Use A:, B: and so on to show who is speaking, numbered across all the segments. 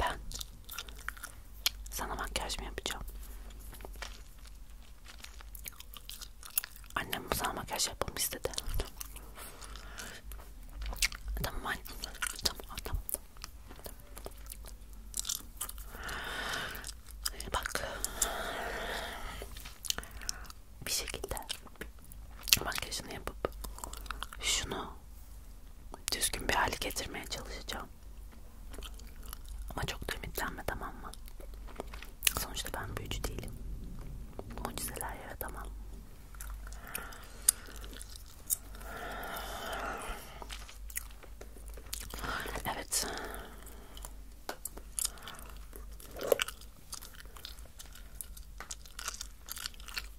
A: Ben sana makyaj mı yapacağım? Annem sana makyaj yapmamı istedi. Tamam anne. Tamam tamam. Bak bir şekilde makyajını yapıp şunu düzgün bir hale getirmeye çalışacağım. Ama çok da ümitlenme tamam mı? Sonuçta ben büyücü değilim. Mucizeler yaratamam. Evet.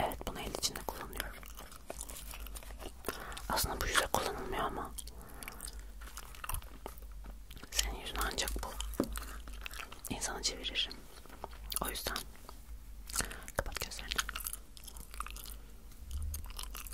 A: Evet bunu el içinde kullanıyorum. Aslında bu yüze kullanılmıyor ama senin yüzün ancak bu insanı çevirir. O yüzden kapat gözlerini.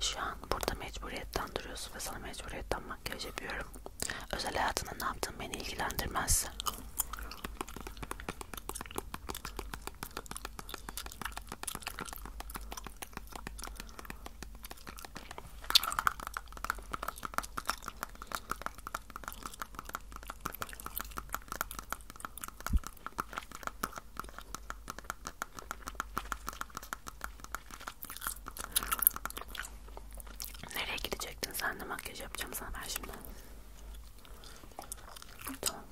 A: Şu an burada mecburiyetten duruyorsun ve sana mecburiyetten makyaj yapıyorum. Özel hayatında ne yaptığın beni ilgilendirmez. Nereye gidecektin sen de makyaj yapacağım sana ben şimdi. Tamam.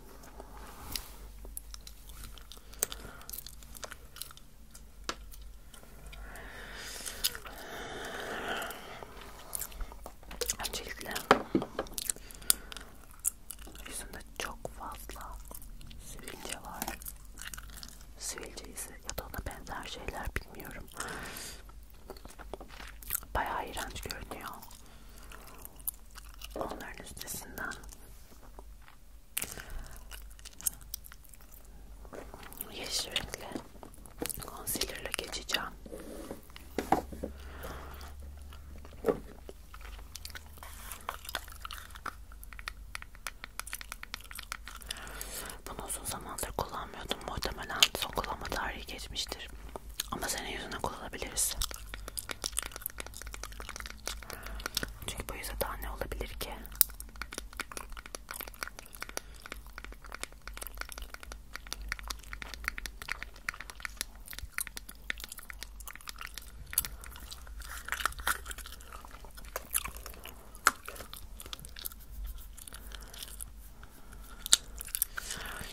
A: Öncelikle yüzümde çok fazla sivilce var. Sivilce ise ya da ona benzer şeyler bilmiyorum. Bayağı iğrenç görünüyor. Onların üstesinden yeşil renkli concealer'la geçeceğim. Bunu uzun zamandır kullanmıyordum. Muhtemelen son kullanma tarihi geçmiştir. Ama senin yüzüne kullanabiliriz. Çünkü bu yüzden daha ne olabilir ki?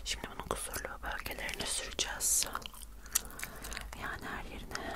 A: Şimdi bunun kusurlu bölgelerini süreceğiz. Yani her yerine.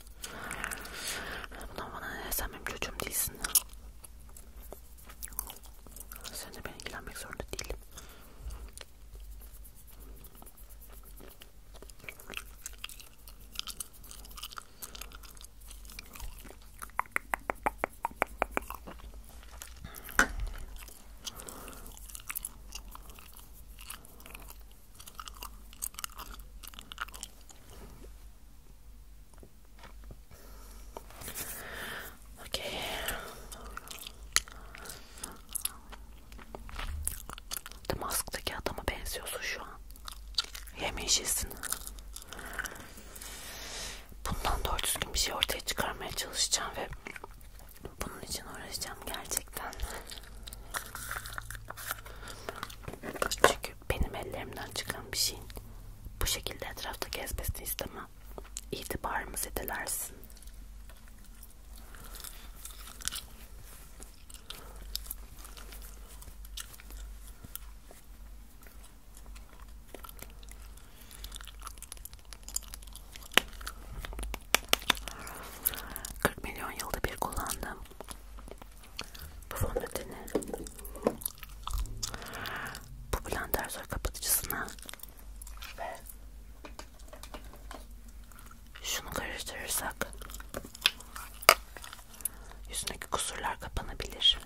A: Bundan bana ne sen benim çocuğum değilsin. Sen de ben ilgilenmek zorunda değilim. Okay. The Mask'taki adama benziyorsun şu an. Yemeyeceksin. Bundan doğru düzgün bir şey ortaya çıkarmaya çalışacağım ve bunun için uğraşacağım gerçekten. Çünkü çünkü benim ellerimden çıkan bir şeyin bu şekilde etrafta gezmesini istemem. İtibarımı zedelersin. Kırk milyon yılda bir kullandığım bu fondöteni bu blender zor kapatıcısına ve şunu karıştırırsak yüzündeki kusurlar kapanabilir.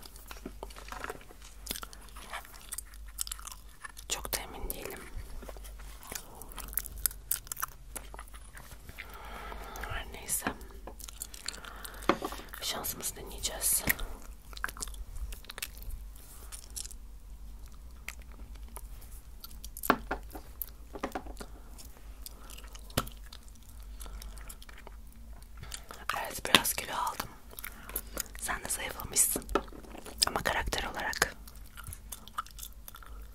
A: Çok da emin değilim. Her neyse. Şansımızı deneyeceğiz. Evet biraz kilo aldım. Sen de zayıflamışsın. Ama karakter olarak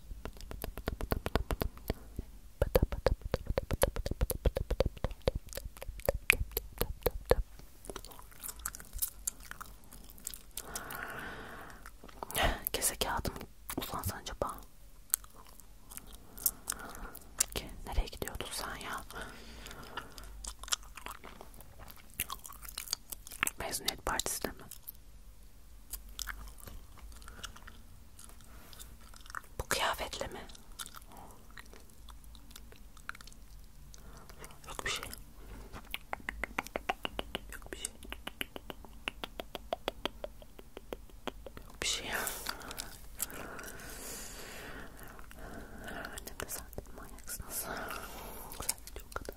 A: Kese kağıdım uzansan acaba? Ki nereye gidiyordun sen ya? Mezuniyet partisi de mi? Bu kıyafetle mi? Yok bir şey. Yok bir şey. Yok bir şey. Annem de zaten manyaksınız. Güzel video kadar.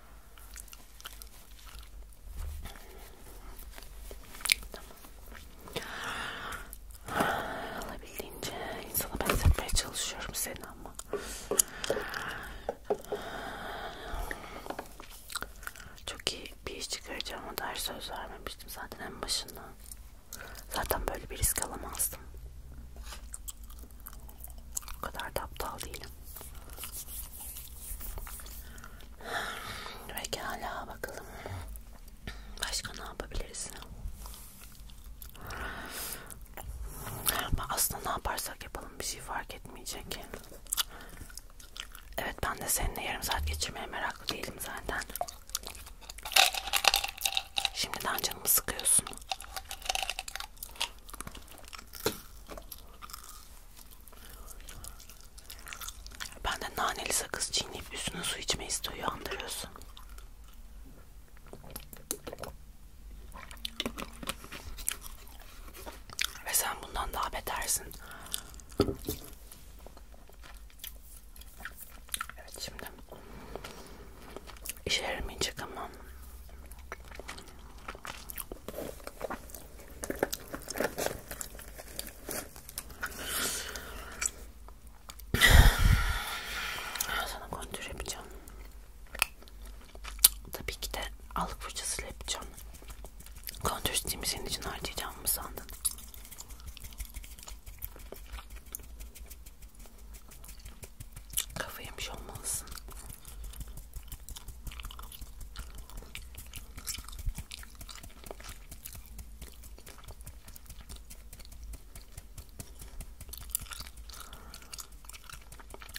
A: Tamam. Alabildiğince insana benzetmeye çalışıyorum seni ama. Çok iyi bir iş çıkaracağım o dair söz vermemiştim zaten en başından. Zaten böyle bir risk alamazdım. O kadar da aptal değilim. Pekala bakalım. Başka ne yapabiliriz? Aslında ne yaparsak yapalım bir şey fark etmeyecek. Evet ben de seninle yarım saat geçirmeye meraklı değilim zaten. Şimdiden canımı sıkıyorsun. Ben de naneli sakız çiğneyip üstüne su içme istiyor andırıyorsun. Ve sen bundan daha betersin. Evet şimdi İşe yaramayacak ama. Sana kontür yapacağım. Tabii ki de alık fırçasıyla yapacağım. Kontür istediğimi senin için harcayacağım mı sandın? Kafa yemiş şey olmalısın.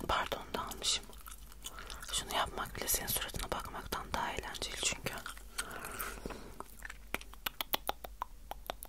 A: Pardon da almışım. Şunu yapmak bile senin suratına bakmaktan daha eğlenceli çünkü.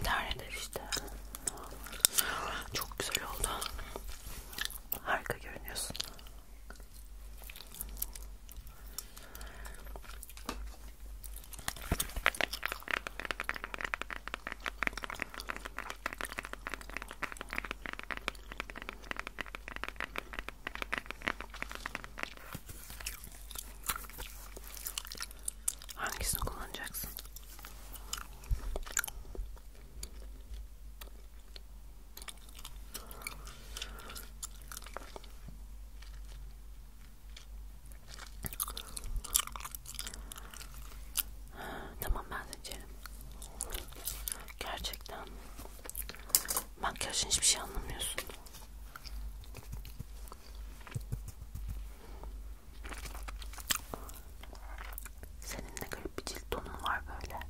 A: İdare eder işte. Çok güzel oldu. Harika görünüyorsun. Hangisini kullanacaksın? Tamam ben seçerim. Gerçekten Makyajın hiçbir şey anlamıyorsun. Senin ne garip bir cilt tonun var böyle.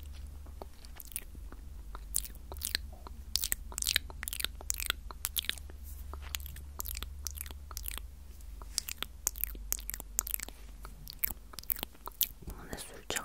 A: Bunu ne süreceğim?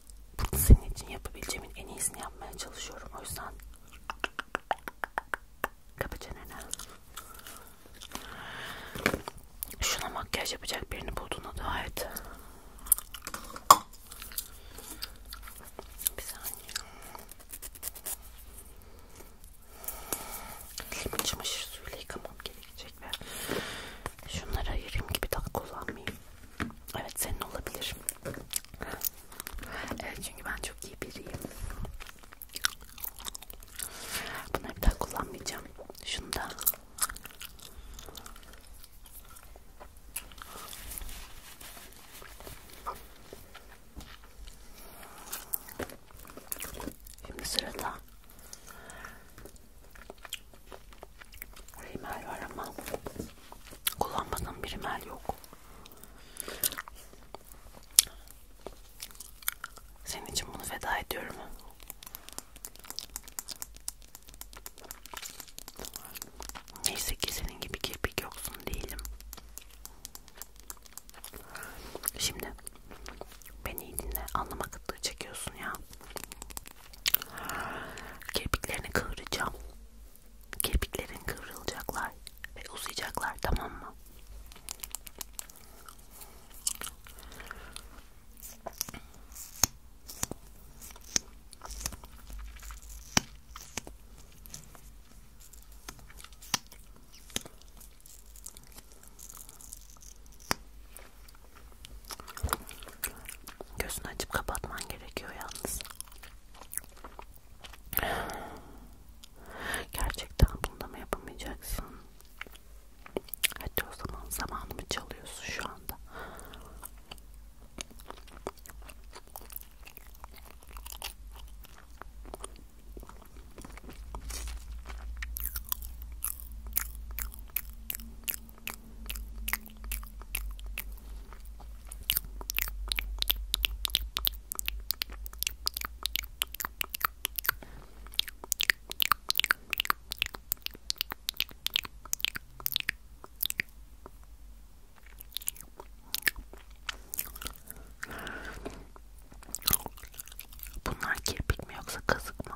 A: Bunu senin için yapabileceğimin en iyisini yapmaya çalışıyorum. O yüzden kapı çeneni. Şuna makyaj yapacak birini bulduğuna dua et. Bir saniye. Elimi çamaşır suyuyla yıkamam gerekecek ve şunları ayırayım gibi daha kullanmayayım. Evet senin olabilir. Evet çünkü ben çok iyi biriyim. Bunları bir daha kullanmayacağım. Şunu da. Şimdi sırada Rimel var ama kullanmadığım bir rimel yok. Senin için bunu feda ediyorum. Neyse ki senin gibi kirpik yoksun değilim. Şimdi beni iyi dinle. Anlama kıtlığı çekiyorsun ya. Kirpiklerini kıvıracağım. Kirpiklerin kıvrılacaklar ve uzayacaklar tamam mı? Gözünü açıp kapatman gerekiyor yalnız. Gerçekten bunu da mı yapamayacaksın? Hadi o zaman zamanımı çalıyorsun şu anda. Bunlar kirpik mi yoksa kazık mı?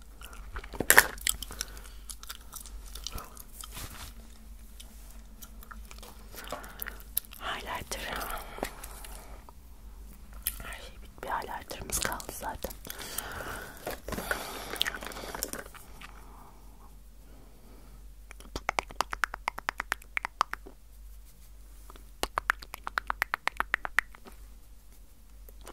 A: Highlighter. Her şey bitti. Bir highlighter'ımız kaldı zaten.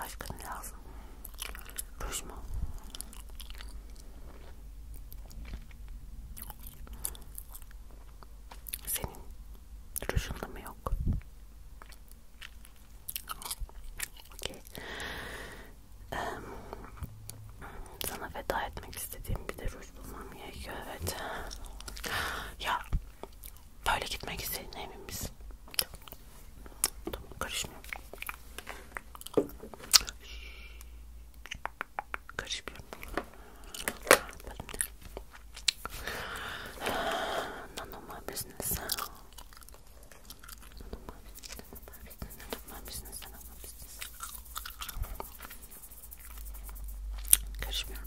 A: Başka ne lazım? Ruj mu? Senin rujun da mı yok? Okay. Ee, sana feda etmek istediğim bir de ruj bulmam gerekiyor evet. Ya Böyle gitmek istediğine emin misin? Tamam, karışmıyorum. Karışmıyorum. Nanoma business. Nanoma business. Nanoma business. Nanoma business. Karışmıyorum.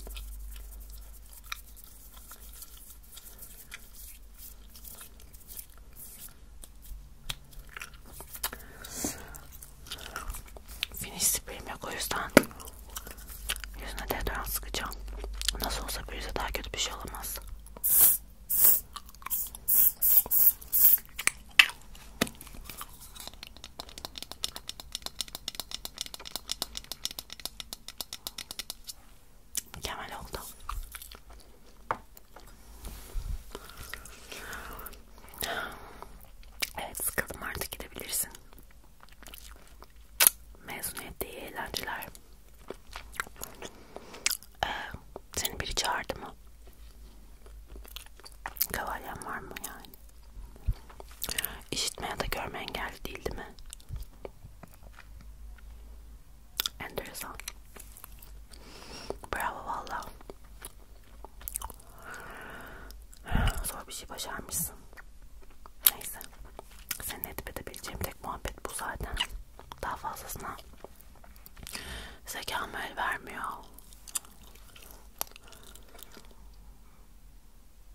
A: Finish spreyim yok o yüzden yüzüne deodorant sıkacağım. Nasıl olsa bir yüze daha kötü bir şey olamaz. Mükemmel oldu. Evet sıkıldım artık gidebilirsin. Mezuniyette iyi eğlenceler. Ee, seni biri çağırdı mı? Kavalyen var mı yani? İşitme ya da görme engelli değil değil mi? Enteresan. Bravo valla. Zor bir şey başarmışsın. Neyse. Senin edip edebileceğim tek muhabbet bu zaten. Daha fazlasına zekam el vermiyor.